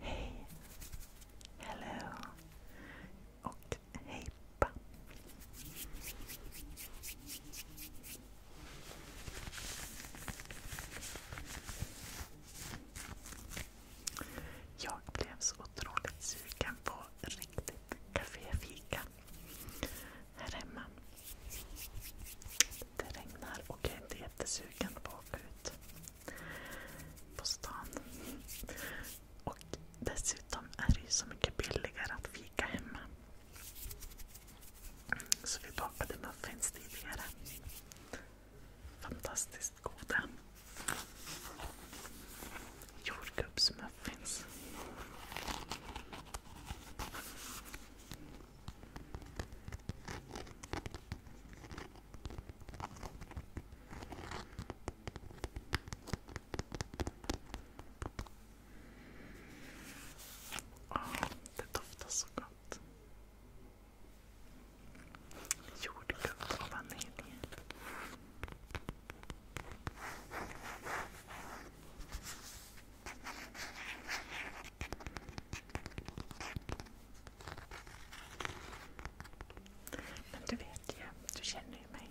Hej! Hello! Och hej pappa! Jag blev så otroligt sugen på riktigt kaféfika här hemma. Det regnar och jag är inte jättesugen på att åka ut på stan. dessutom är det ju så mycket billigare att fika hemma. Så vi bakade muffins tidigare. Fantastiskt goda. Jordgubbsmuffins. Oh, det doftar så gott. Jordgubb och vanilj. Men du vet ju, du känner ju mig.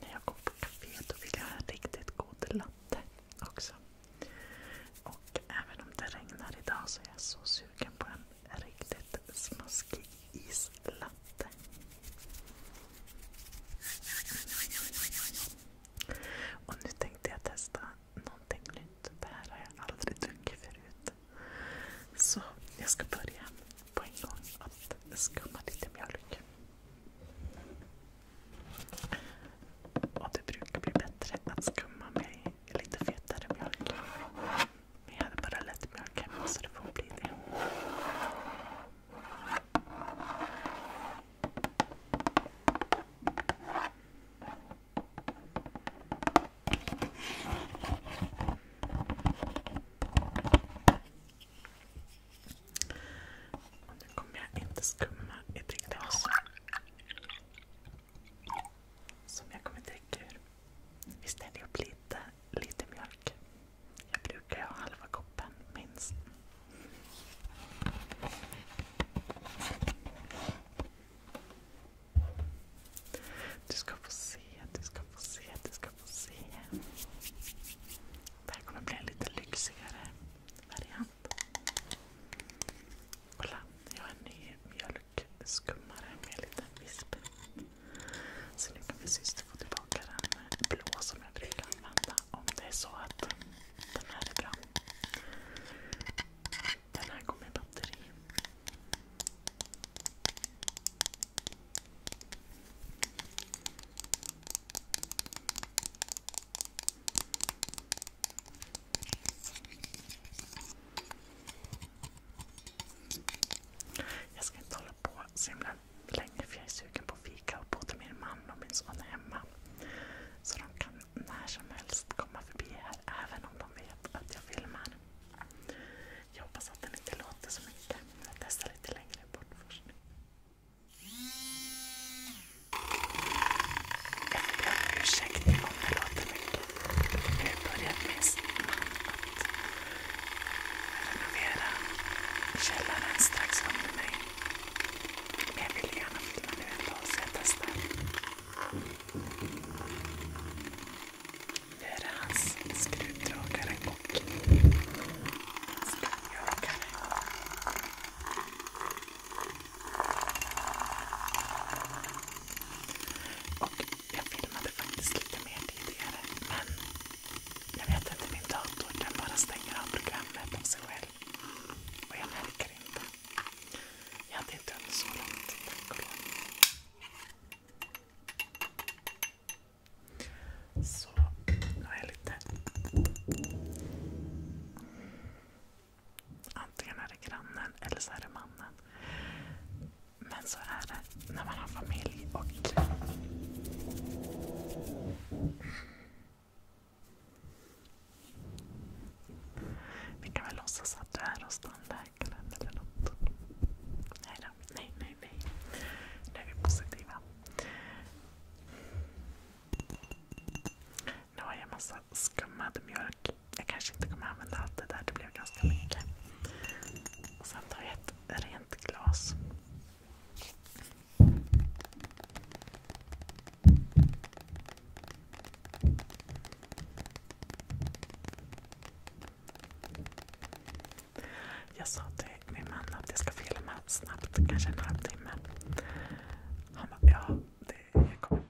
När jag går på café vill jag ha en riktigt god latte också. Och även om det regnar idag så är jag så sugen på en riktigt smaskig islatte. Och nu tänkte jag testa någonting nytt. Det här har jag aldrig druckit förut. Så jag ska börja på en gång att skumma lite mjölk. Och det brukar bli bättre att skumma med lite fetare mjölk. Men jag hade bara lätt mjölk hemma så det får bli det. Och nu kommer jag inte skumma i det glas som jag kommer dricka ur. Vi ställer upp lite, lite mjölk. Jag brukar ha halva koppen minst. Du ska få se, du ska få se, du ska få se. Det här kommer bli en lite lyxigare variant. Kolla, jag har en ny mjölkskummare med lite visp. Så nu kan min syster få tillbaka den blå som jag brukar använda om det är så att den här är bra. Den här går med batteri. Jag ska inte hålla på så himla längre för jag är sugen på fika och både min man och min son är hemma. Så de kan när som helst komma förbi här även om de vet att jag filmar. Jag hoppas att den inte låter så mycket. Jag testar lite längre bort först. Jag ber om ursäkt om det låter mycket. Nu börjar min man att renovera källaren strax under mig. Men jag vill gärna filma nu en dag så jag testar. Nu är det hans skruvdragare och skruvjagare. Och jag filmade faktiskt lite mer tidigare men jag vet inte, min dator den bara stänger av programmet av sig själv. Och jag märker inte. Jag hade inte hunnit så långt. tack och lov. Så, nu har jag lite... Antingen är det grannen eller så är det mannen. Men så är det när man har familj och... Vi kan väl låtsas att du är hos tandläkaren eller något. Nej då. Nej, nej, nej. Nu är vi positiva. Nu har jag en massa skummad mjölk. Jag kanske inte kommer använda allt det där. Det blev ganska mycket. Och sen tar jag ett rent glas. Jag sa till min man att jag ska filma snabbt, kanske en halvtimme. Han bara, ja, det, jag, kommer,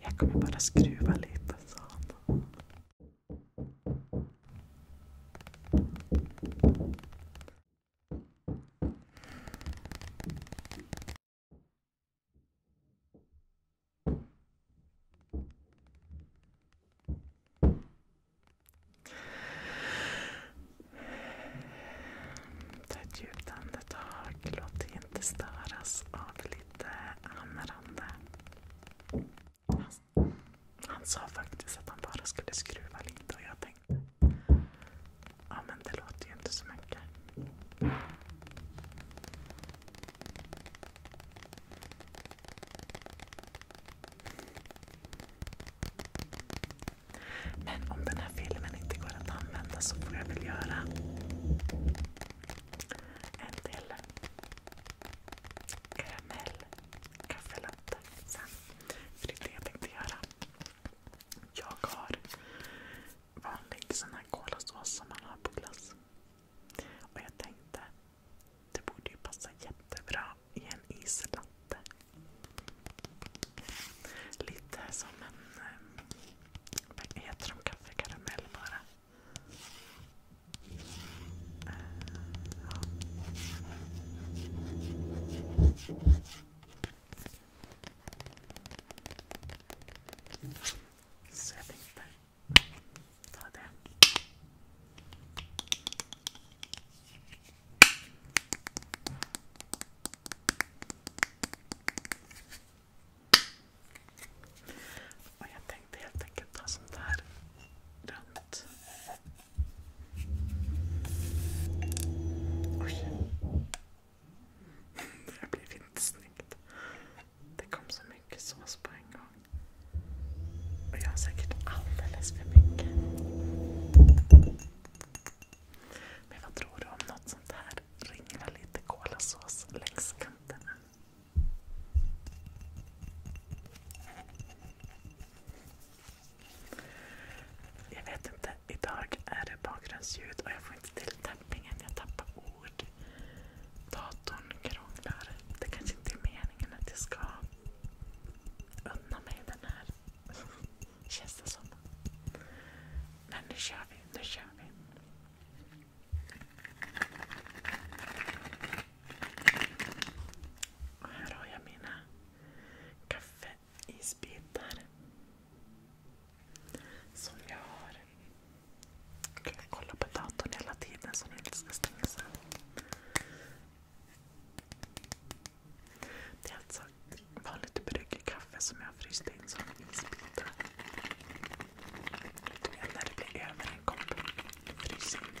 jag kommer bara skruva lite, sa han. Ta ett djupt andetag. Låt dig inte störas av lite hamrande. Han, sa faktiskt att han bara skulle skruva lite och jag tänkte ja men det låter ju inte så mycket. Men om den här filmen inte går att använda så får jag väl göra en till karamell kaffelatte sen. För det är det jag tänkte göra. Jag har vanlig kolasås som man har på glass. Och jag tänkte, det borde ju passa jättebra i en islatte. Lite som en... Eh, vad heter de? Kaffekaramell bara ja. Så jag tänkte ta det. Och jag tänkte helt enkelt ta sånt här runt Oj. Det här blev inte snyggt. Det kom så mycket sås på en gång. Och jag har säkert alldeles för mycket. Men vad tror du om något sånt här? Ringla lite kolasås längs kanterna. Jag vet inte. Idag är det bakgrundsljud och jag får inte till tappningen. Jag tappar ord. Datorn krånglar. Det kanske inte är meningen att jag ska unna mig den här. Känns det som. Men nu kör vi. Nu kör vi. Och här har jag mina kaffeisbitar. Som jag har kunnat kolla på datorn hela tiden så den inte ska stängas av. Det är alltså vanligt bryggkaffe som jag har fryst in som isbitar. När det blir över en kopp, frys in.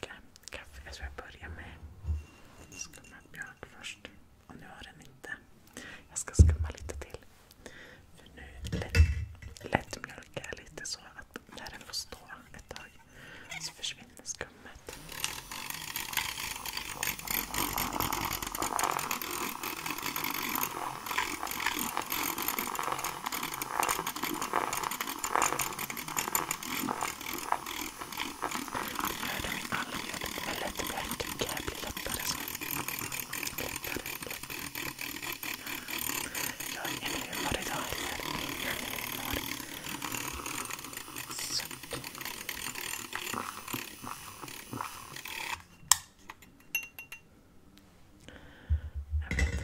dricka kaffe. Jag tror jag börjar med skummad mjölk först. Och nu har den inte. Jag ska skumma lite till. För nu lätt, lättmjölk lite så att när den får stå ett tag så försvinner skummet. Hörde min allmjöd med lätt mjölk bli lättare så. Lättare, lättare. Jag är humor idag eller? Jag är humor. Suck. Jag vet inte.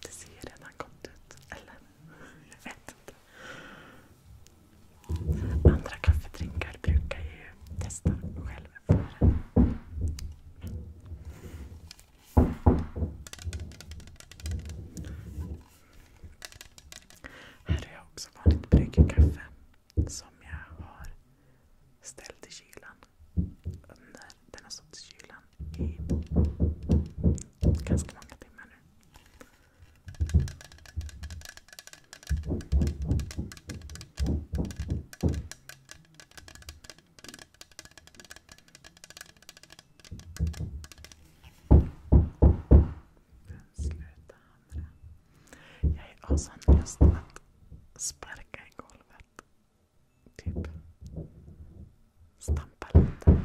Det ser redan gott ut, eller? Jag vet inte. Andra kaffedrinkar brukar jag ju testa själv före. Här har jag också vanligt bryggkaffe som jag har ställt i kylan. Under, denna sorts kylan i ganska många timmar nu. Sluta hamra. Jag har sån lust att sparka i golvet. Typ stampa lite.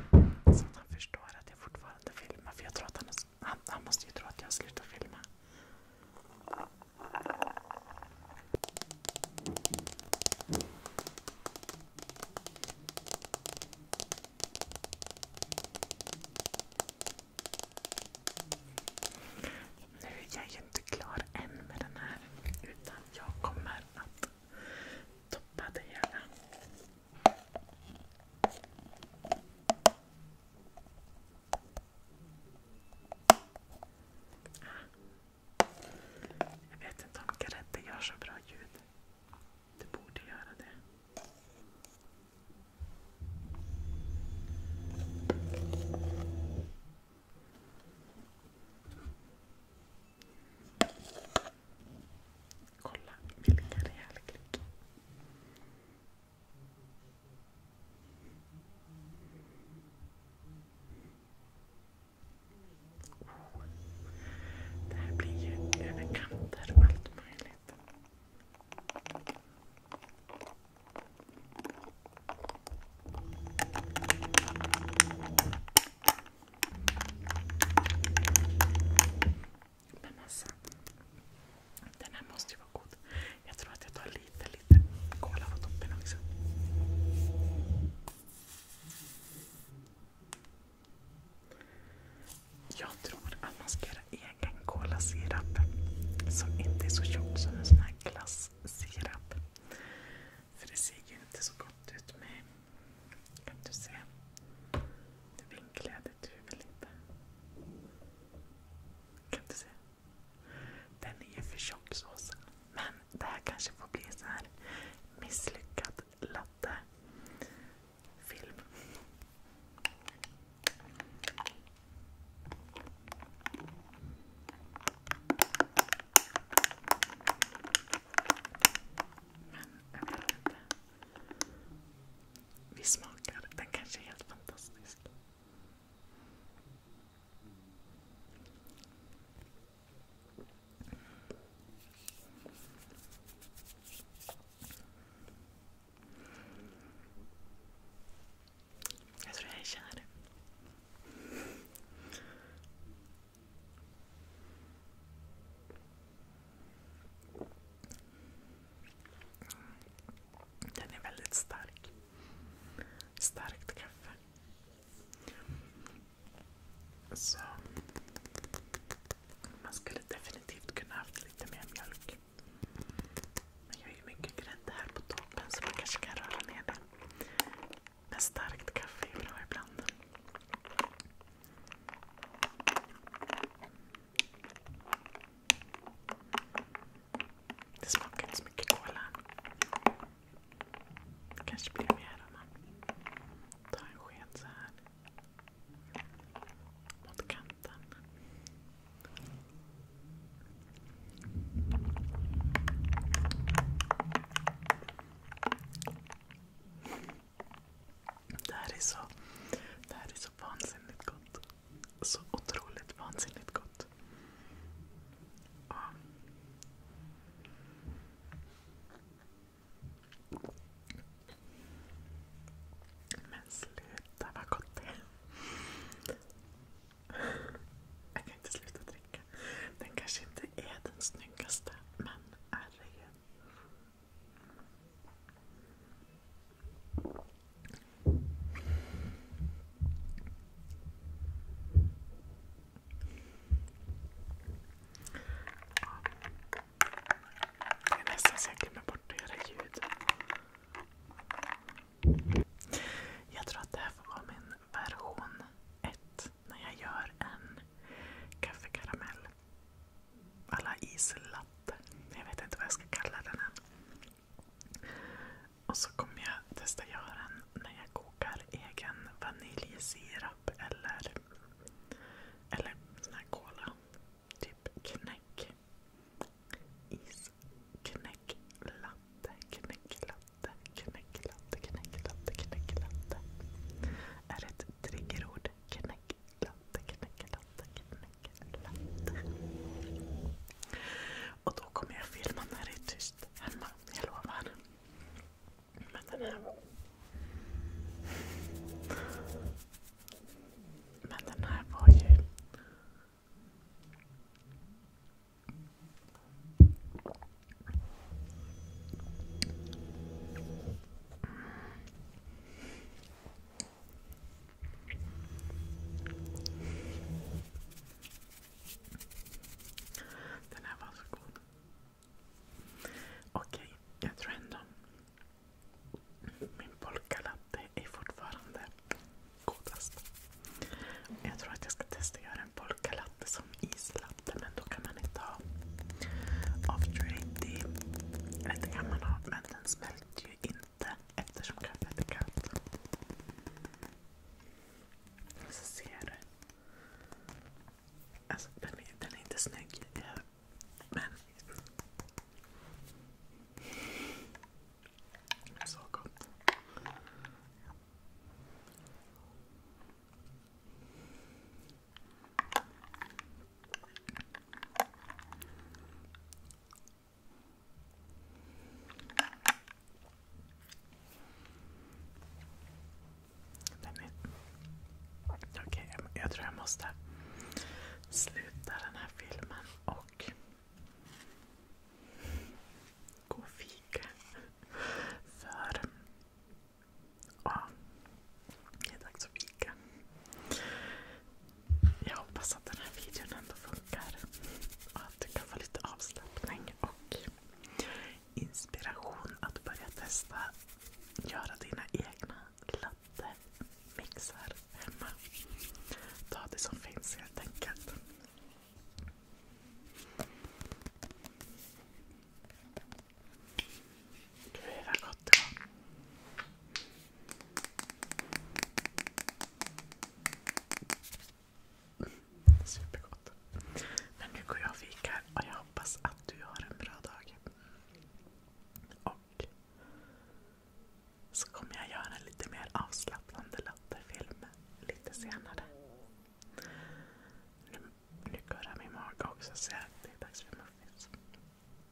Så att han förstår att jag fortfarande filmar. För jag tror att han han, han måste ju tro att jag har slutat filma. Nu är jag ju inte klar än med den här utan jag kommer att toppa det hela. Jag vet inte om grädde gör så bra ljud. Det borde göra det. Kolla vilken rejäl klick. Oh. Det här blir ju över kanter och allt möjligt. Men alltså, den här måste ju vara god. Jag tror att jag tar lite, lite kola på toppen också. Jag tror att man ska göra egen kolasirap som inte är så tjock som en sån här glassirap. För det ser ju inte så gott ut med, kan du se, det duger väl inte? Kan du se? Den är ju för tjock såsen. Men det här kanske får bli så här misslyckad latte-film. Men jag vet inte vi smakar. Den kanske är helt fantastisk. Jag tror jag är kär. Den är väldigt stark. Starkt kaffe. Så man skulle definitivt kunna haft lite mer mjölk. Men jag ju mycket grädde här på toppen så man kanske kan röra ner det. Men starkt kaffe är bra ibland. Det smakar inte så mycket cola. Det kanske blir mer om man tar en sked så mot kanten. det här är så vansinnigt gott. Så otroligt vansinnigt gott. Men sluta vad gott det är. Jag kan inte sluta dricka. Den kanske inte är den snyggaste, men är det ju. Det är nästan så jag glömmer bort att göra ljud. Jag tror att det här får vara min version 1 när jag gör en kaffekaramell alla islatte. Jag vet inte vad jag ska kalla den än. Och så kommer jag testa göra den när jag kokar egen vaniljsirap eller, eller sån här cola. Typ knäck. Isknäck latte, knäcklatte, knäcklatte, knäcklatte, knäcklatte. Är ett triggerord. Knäck, latte, knäcke, latte, knäcke, latte. Och då kommer jag filma när det är tyst hemma, jag lovar. Men den här... Men den här var ju... Den här var så god. Okej, jag tror ändå min polkalatte är fortfarande godast. Jag tror att jag ska testa att göra en polkalatte som islatte men då kan man inte ha after 80. Eller det kan man ha men den smälter ju inte eftersom kaffet är kallt. Så ser du. Alltså den är, den är inte snygg. Men... Så gott. Okej, okay, jag tror jag måste sluta den här filmen och gå och fika. För ja, det är dags att fika. Jag hoppas att den här videon ändå funkar. Och att du kan få lite avslappning och inspiration att börja testa göra dina egna latte-mixar hemma. Ta det som finns helt enkelt. Gud vad gott det var. Supergott. Men nu går jag och fikar och jag hoppas att du har en bra dag. Och så kommer jag göra en lite mer avslappnande latterfilm lite senare. Nu, nu min mage också så det är dags för muffins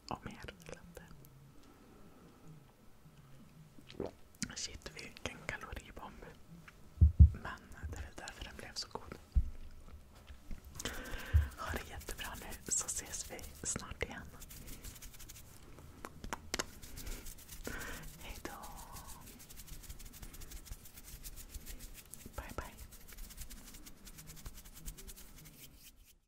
om er eller inte. Shit, vilken kaloribomb. Men det är väl därför den blev så god. Ha det jättebra nu så ses vi snart igen. Hejdå. Bye bye.